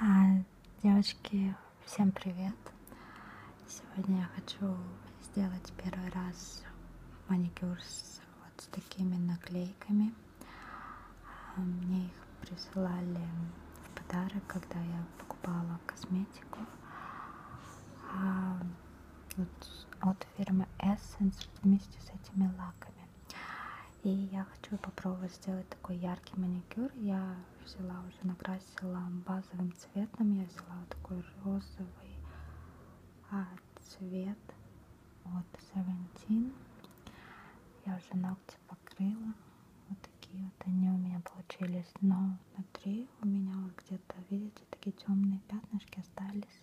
А, девочки, всем привет! Сегодня я хочу сделать первый раз маникюр с вот с такими наклейками. А, мне их присылали в подарок, когда я покупала косметику а, вот, от фирмы Essence вместе с этими лаками. И я хочу попробовать сделать такой яркий маникюр. Я взяла уже, накрасила базовым цветом. Я взяла вот такой розовый а, цвет от Seventeen. Я уже ногти покрыла. Вот такие вот они у меня получились. Но внутри у меня вот где-то, видите, такие темные пятнышки остались.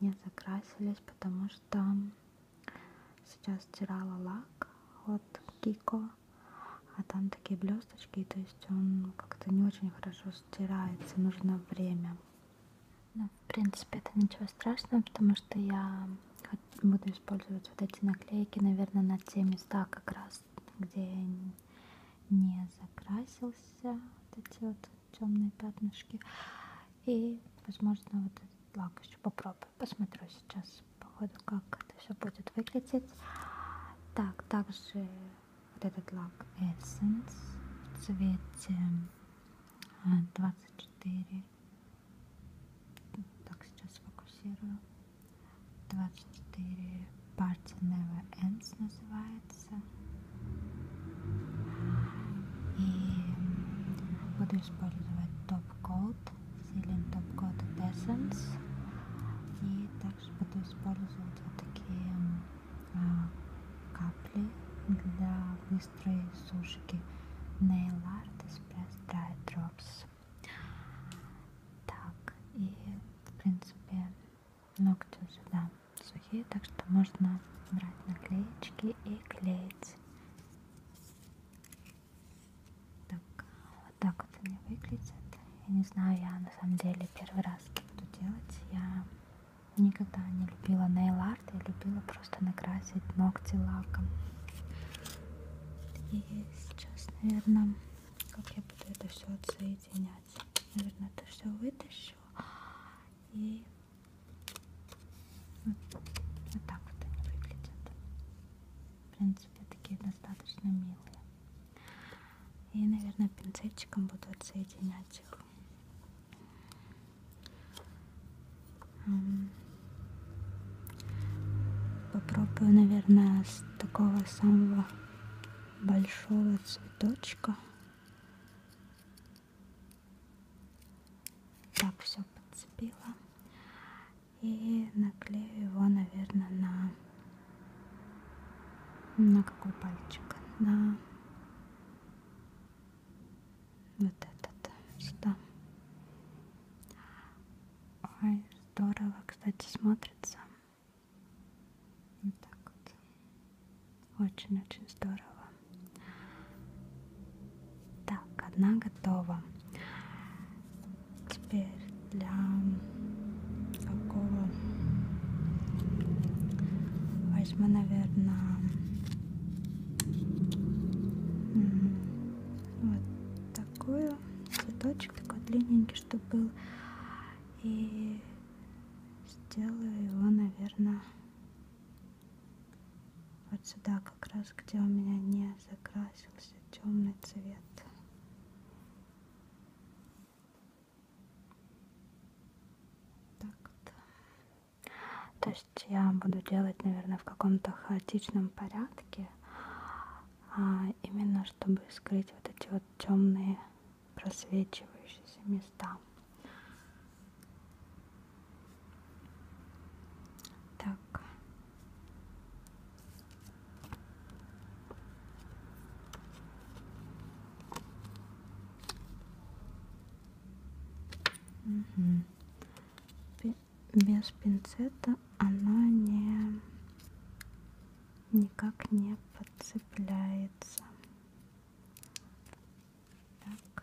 Не закрасились, потому что сейчас стирала лак от Кико, а там такие блесточки, то есть он как-то не очень хорошо стирается, нужно время. Ну, в принципе, это ничего страшного, потому что я буду использовать вот эти наклейки, наверное, на те места как раз, где не закрасился, вот эти вот темные пятнышки. И, возможно, вот этот лак еще попробую. Посмотрю сейчас, походу, как это все будет выглядеть. Так, также вот этот лак Essence в цвете 24. А, так, сейчас фокусирую. 24 Party Never Ends называется. И буду использовать Top Coat, Silent Top Coat от Essence. И также буду использовать вот такие а, капли для быстрой сушки Nail Art Express Dry Drops. Так, и в принципе ногти сюда сухие, так что можно брать наклеечки и клеить. Так, вот так вот они выглядят. Я не знаю, я на самом деле первый раз буду делать. Я никогда не любила нейл-арт, я любила просто накрасить ногти лаком. И сейчас, наверное, как я буду это все отсоединять. Наверное, это все вытащу и вот так вот они выглядят. В принципе, такие достаточно милые. И, наверное, пинцетчиком буду отсоединять их. Попробую, наверное, с такого самого большого цветочка. Так, все подцепила. И наклею его, наверное, на... На какой пальчик? На вот этот сюда. Ой, здорово, кстати, смотрится. Вот так вот. Очень-очень здорово. Так, одна готова. Теперь для такого возьму, наверное, вот такую цветочек такой длинненький, чтобы был. И сделаю его наверное вот сюда как раз где у меня не закрасился темный цвет так -то. то есть я буду делать наверное в каком-то хаотичном порядке а именно чтобы скрыть вот эти вот темные просвечивающиеся места. Так. Угу. Без пинцета она не никак не подцепляется. Так.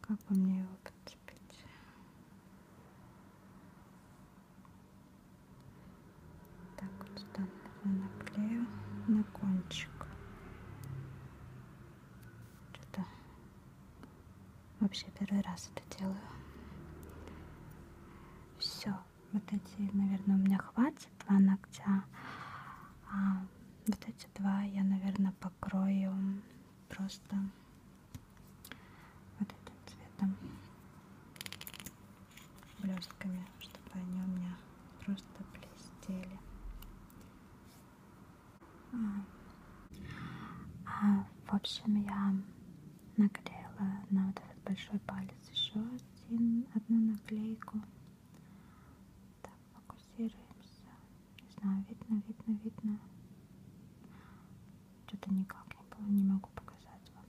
Как бы мне его подцепить? Так вот сюда наклею на кончик. Что-то Вообще первый раз это делаю. Все, вот эти, наверное, у меня хватит два ногтя. А вот эти два я, наверное, покрою просто вот этим цветом блестками, чтобы они у меня просто блестели. А, а, в общем, я наклеила на вот этот большой палец еще один, одну наклейку. Так, фокусируемся. Не знаю, видно, видно, видно. Что-то никак не, не могу показать вам.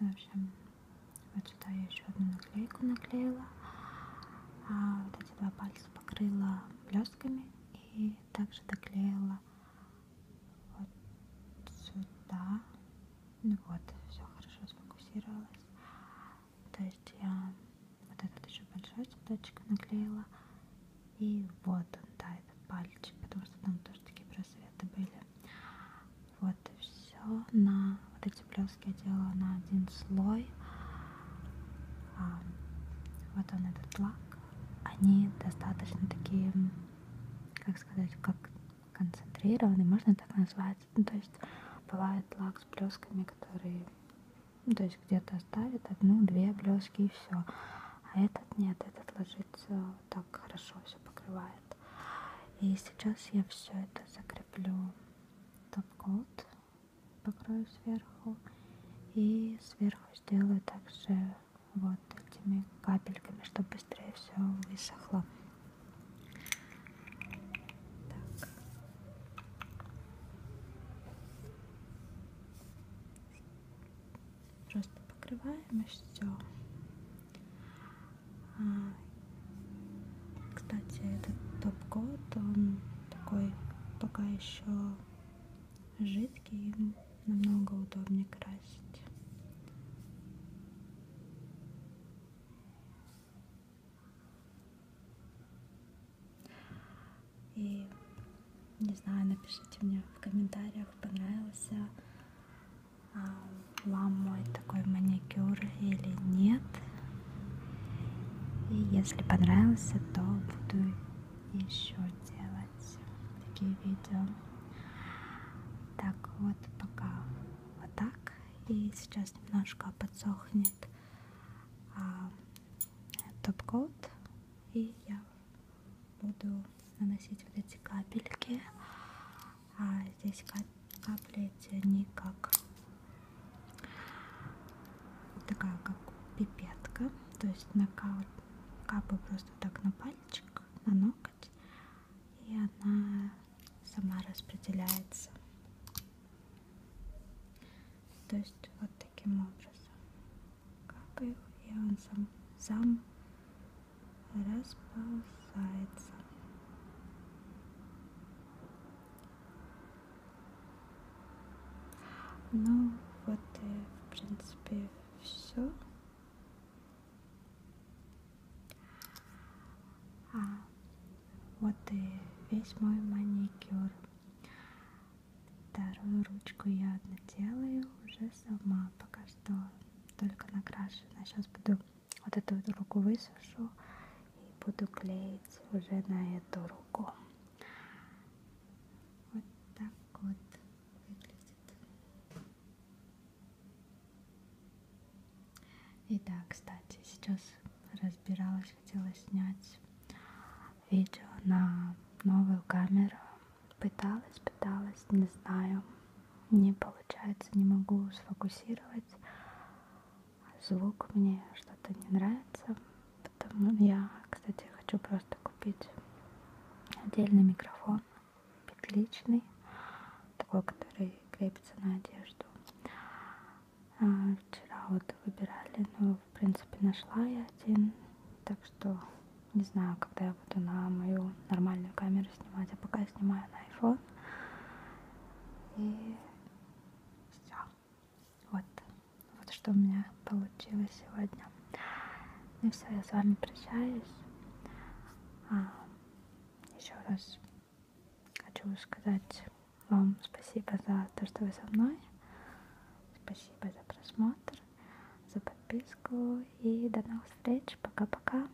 Ну, в общем, вот сюда я еще одну наклейку наклеила. А вот эти два пальца покрыла блестками и также доклеила вот сюда. Ну вот, все хорошо сфокусировалось. То есть я вот этот еще большой цветочек наклеила. И вот он, да, этот пальчик, потому что там тоже такие просветы были. Вот и все. На вот эти блески я делала на один слой. А, вот он этот лак они достаточно такие, как сказать, как концентрированные, можно так назвать. Ну, то есть бывает лак с блесками, которые, ну, то есть где-то оставят одну-две блески и все. А этот нет, этот ложится вот так хорошо, все покрывает. И сейчас я все это закреплю топ-код покрою сверху и сверху сделаю также вот этими капельками, чтобы быстрее все высохло. Так. Просто покрываем и все. А, кстати, этот топ-код, он такой пока еще жидкий, намного удобнее красить. И не знаю, напишите мне в комментариях, понравился а, вам мой такой маникюр или нет. И если понравился, то буду еще делать такие видео. Так, вот пока вот так. И сейчас немножко подсохнет а, топ-код. И я буду наносить вот эти капельки. А здесь кап капли, эти, они как такая как пипетка, то есть на капаю просто так на пальчик, на ноготь, и она сама распределяется. То есть вот таким образом. Капаю, и он сам, сам расползается. Ну вот и в принципе все. А вот и весь мой маникюр. Вторую ручку я делаю уже сама пока что только накрашена. Сейчас буду вот эту вот руку высушу и буду клеить уже на эту руку. Вот так вот выглядит. И да, кстати, сейчас разбиралась, хотела снять видео на новую камеру. Пыталась, пыталась, не знаю. Не получается, не могу сфокусировать звук мне что-то не нравится. Потому я, кстати, хочу просто купить отдельный микрофон, петличный, такой, который крепится на одежду. А, вчера вот выбирали, но в принципе нашла я один, так что не знаю, когда я буду на мою нормальную камеру снимать, а пока я снимаю на iPhone. И все. Вот. Вот что у меня получилось сегодня. Ну все, я с вами прощаюсь. А, еще раз хочу сказать вам спасибо за то, что вы со мной. Спасибо за просмотр, за подписку. И до новых встреч. Пока-пока.